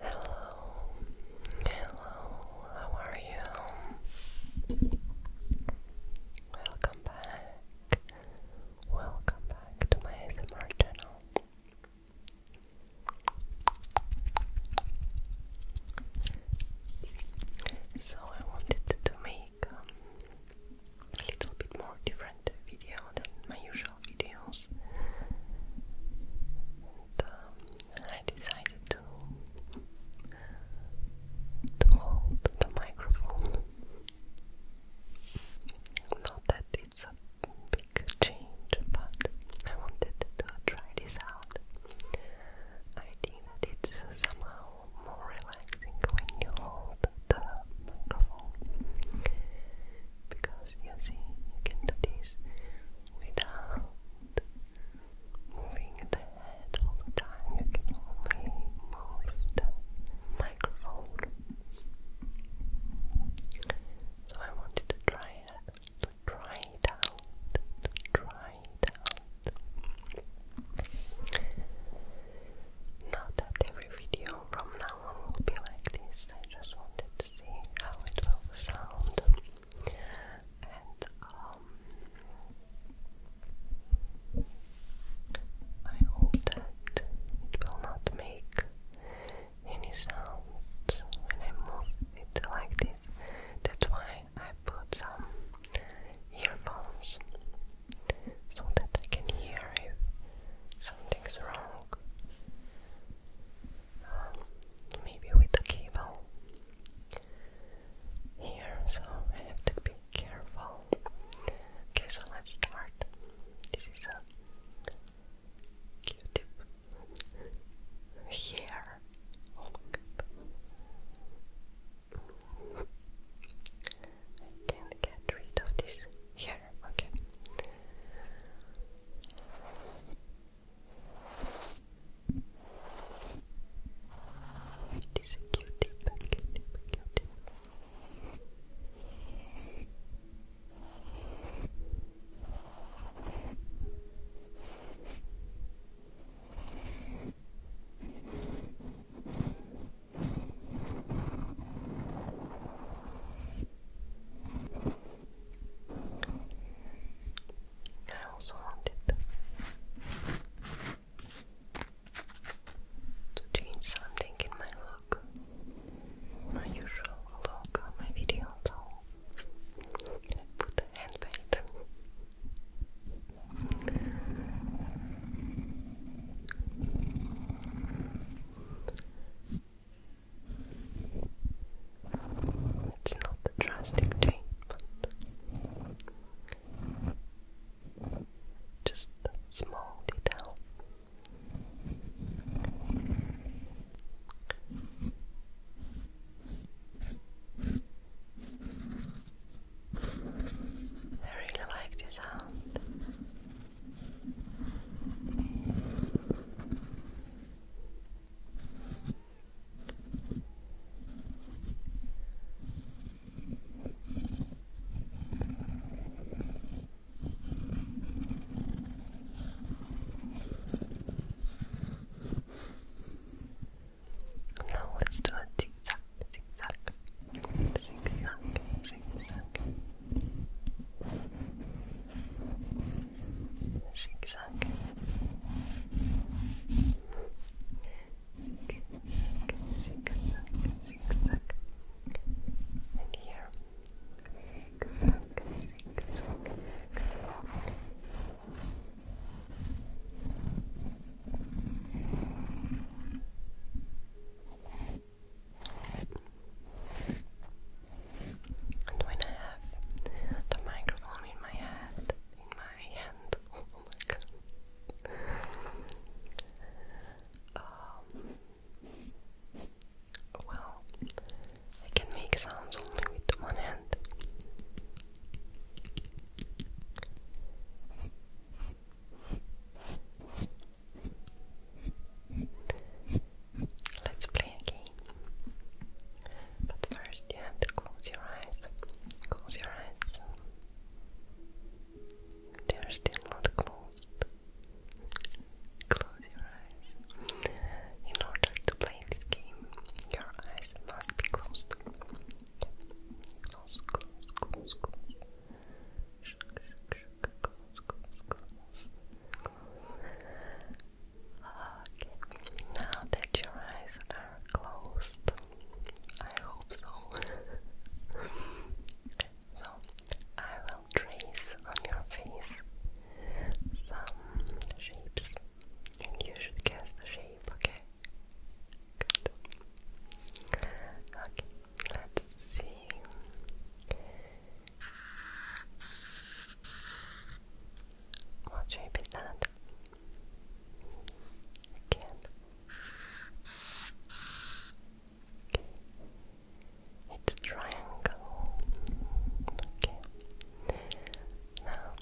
Hello, hello, how are you? Welcome back, welcome back to my ASMR channel. So, I wanted to make a little bit more different different video than my usual videos. Um, I decided to hold the microphone. Not that it's a big change, but I wanted to try this out. I think it's somehow more relaxing when you hold the microphone because you see, you can do this without moving the head all the time, you can only move the microphone. So I wanted to try it, to try it out, to try it out. Not that every video from now on will be like this, I just wanted to see how it will sound. And um, I hope that it will not make any sound when I move it like this. That's why I put some earphones so that I can hear if something's wrong maybe with the cable here, so I have to be careful. Okay, so let's start. This is a Q-tip here. can't get rid of this. Here higher. Okay. It is a cute tip, cute cute I also wanted to change something in my look, my usual look on my video, put a hand it's not a drastic change, but just a small detail. I really like this sound. Now let's do a zigzag, zigzag, zigzag, zigzag zigzag zigzag zigzag and here zigzag zigzag and when I have the microphone in my hand, in my hand, oh um, well, I can make sounds only with one hand. Let's play a game. But first, you have to close your eyes. Close your eyes. They're still not closed. Close your eyes. In order to play this game, your eyes must be closed. Close, close, close, close. Close, close, close. Close. Okay, now that your eyes are closed, I hope so. I will trace on your face some shapes, and you should guess the shape, okay? Good. Okay, let's see. Watch how you pick that Again. Okay. It's triangle. Okay. Now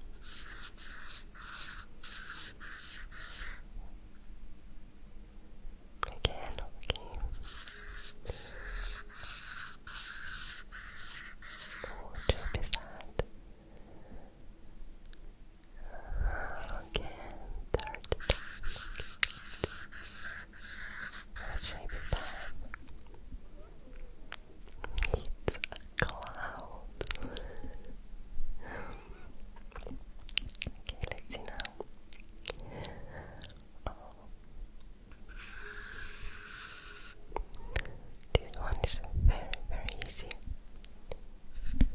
Again, okay percent Okay, third What shape is It's a cloud Okay, let's see now this one is very, very easy to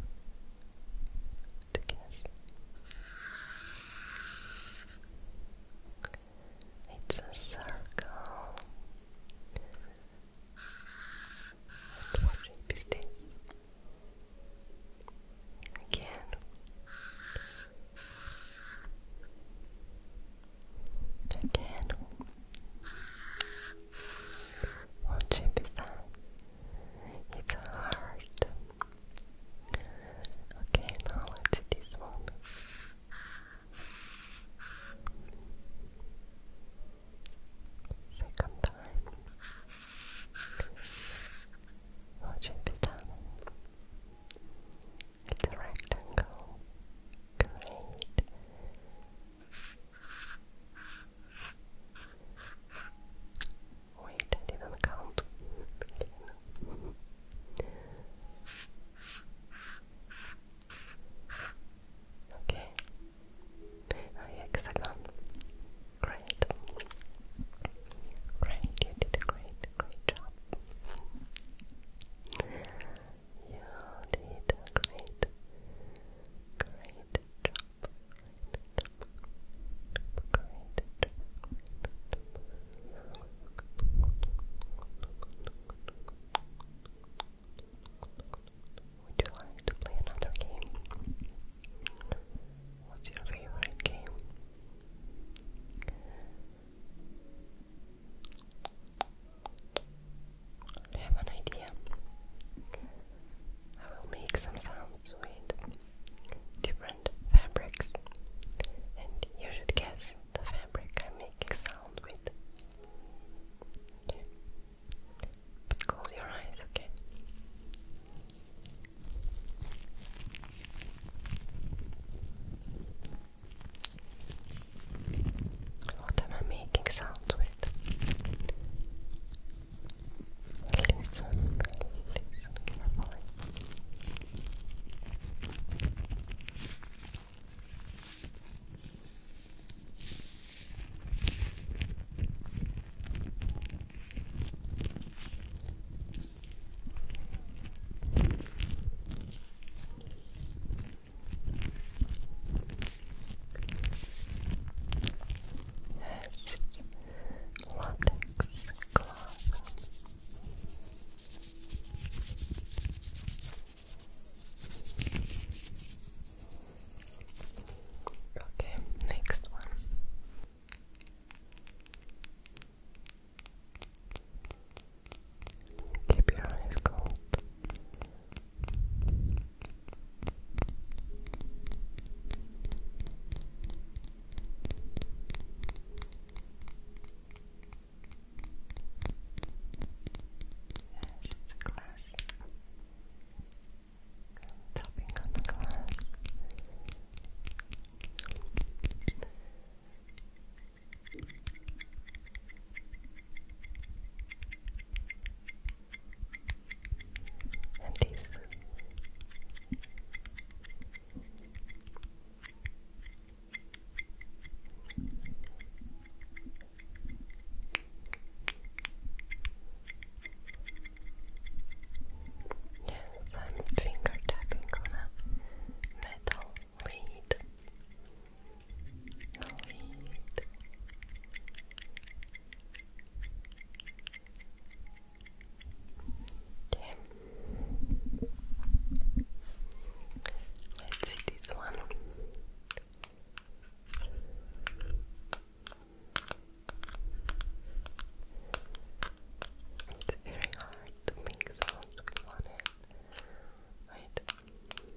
It's a circle. Again, Eu quero um chipset. It's hard. Okay, now let's do this one. Second time. Watch it be done. It's rectangle. Great. Wait, I didn't count. okay. A Great. Great, did a great, great job. You did a great, great job. Would you like to play another game? What's your favorite game? I have an idea. I will make some sounds with different fabrics, and you should guess the fabric I'm making sound with. But close your eyes, okay? What am I making sounds with? Listen, listen carefully. It's latex cloth. Okay, next one. Keep your eyes cold. Yes, it's a glass. Tapping on the glass. And this. Yes, I'm finger tapping on metal lead, lead. Okay. Let's see this one. It's very hard to make sounds with one hand, right?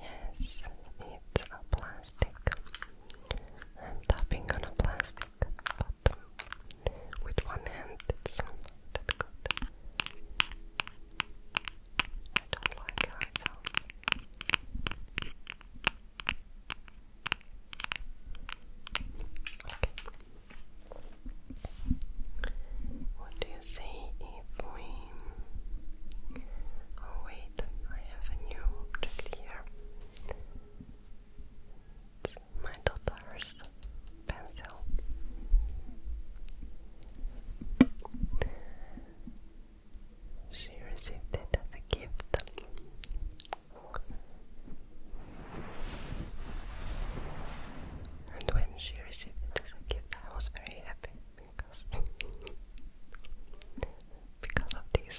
Yes, it's a plastic. I'm tapping on a plastic, but with one hand it's not that good. I don't like it sounds. Okay. What do you say if we... Oh wait, I have a new object here. my daughter's pencil. She received it as a gift. And when she received it as a gift, I was very happy because because of these.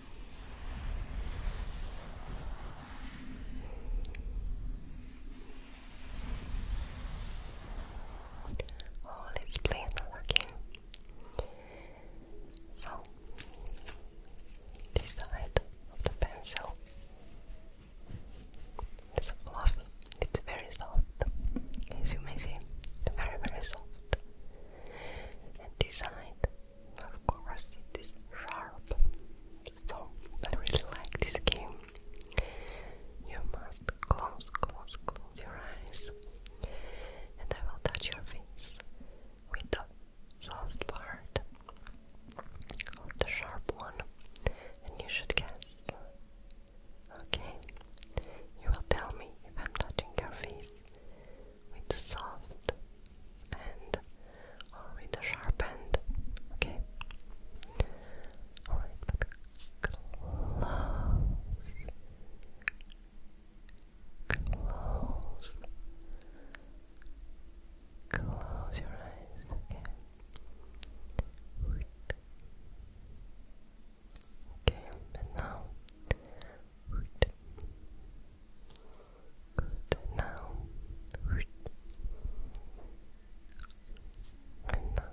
Oh, let's play another game. So, this of the pencil is fluffy, it's very soft, as you may see, very, very soft. And this of course, it is sharp. So I really like this game. You must close, close, close your eyes, and I will touch your face with the soft part or the sharp one, and you should guess. Okay, you will tell me if I'm touching your face with the soft end or with the sharp end. Okay? Alright, close. Close. Close your eyes. Okay. Okay, and now. Good. Now. And now. And now. And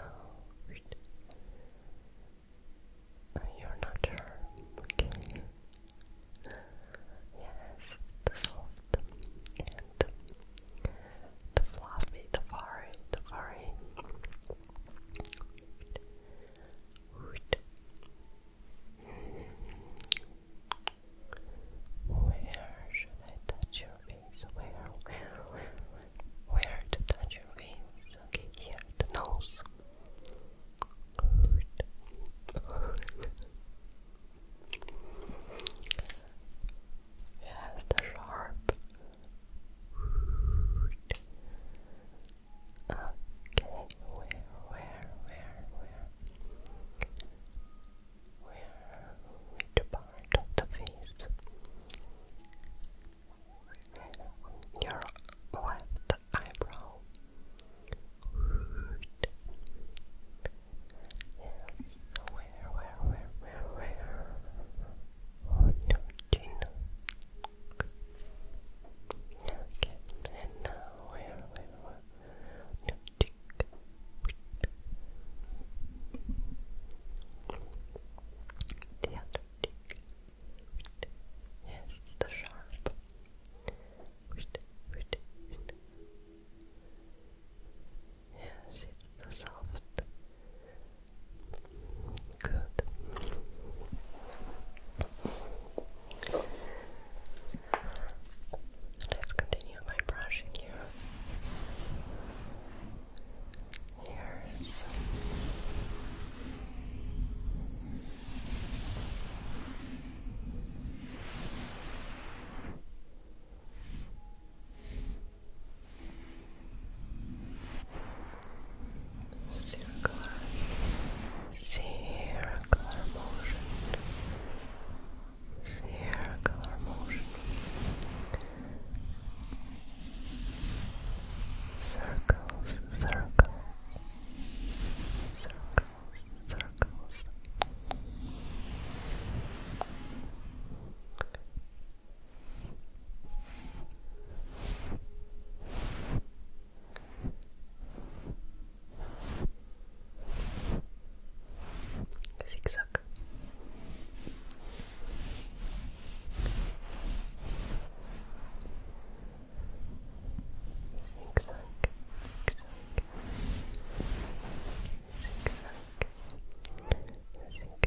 now. You're not sure. Okay. Yes, the soft the fluffy, the furry, the furry. Where should I touch your face? Where, where, to touch your face? Okay, here, the nose. It has the sharp. Okay, where, where, where, where? Where, which part of the face? Your left eyebrow where, where, where, where, where? On your Okay, and now where, where, where? On your The other Yes, the sharp. Yes, it's soft. Good. Let's continue by brushing your ears circular, circular motion, circular motion, circles, circles, circles, circles. Zigzag. Zigzag. Zigzag. Zigzag.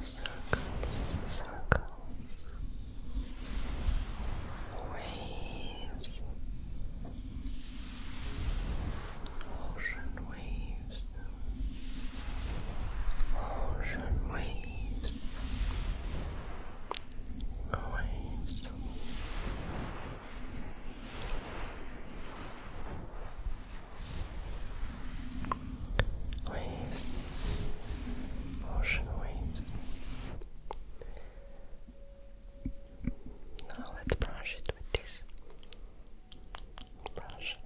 circles, circles, waves, ocean waves, ocean waves, waves waves, ocean waves. Now let's brush it with this brush.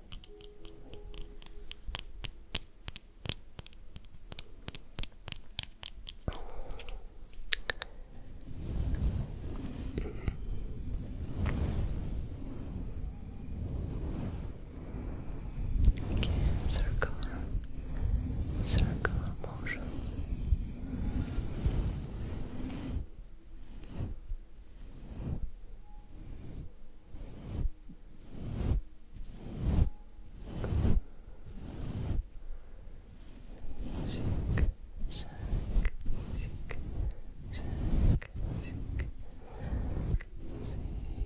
Okay, circular, motion. Zig, zag, zig, zag, zig, zag,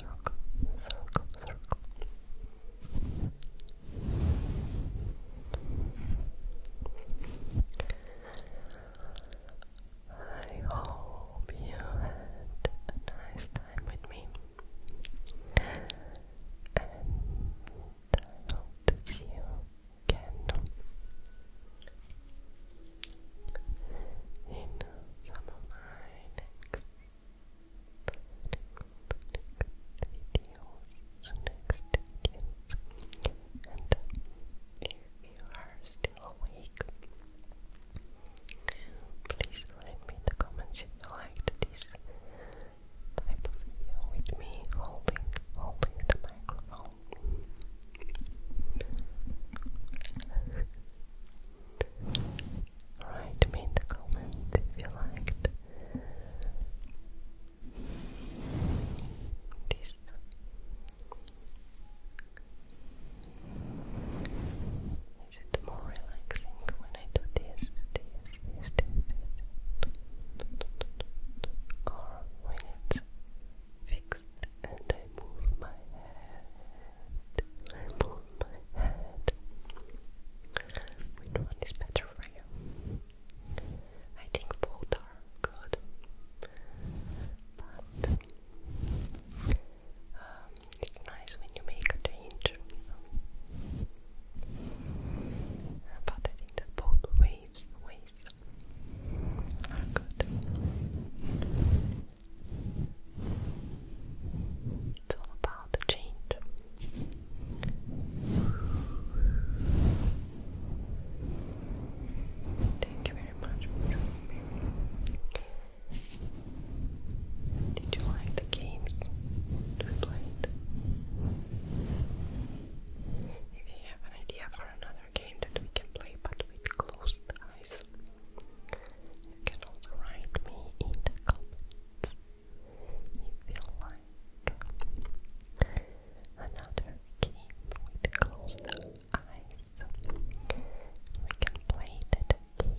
circle, circle, circle. I hope you had a nice time with me, and I hope see you again in some of my next videos, if you are still awake, please write me in the comments if you liked this type of video uh, with me holding, holding the microphone. Alright, make the comment if you liked this. Is it more relaxing when I do this, this, this, this, this, or when it's fixed and I move my head? I move my head. Which one is better for you? I think both are good. But it's nice when you make a change. But I think that both waves, ways are good. It's all about the change. Thank you very much Did you like the games we played? If you have an idea for another game that we can play but with closed eyes, you can write me in the comments if you like another game with closed eyes. We can play that game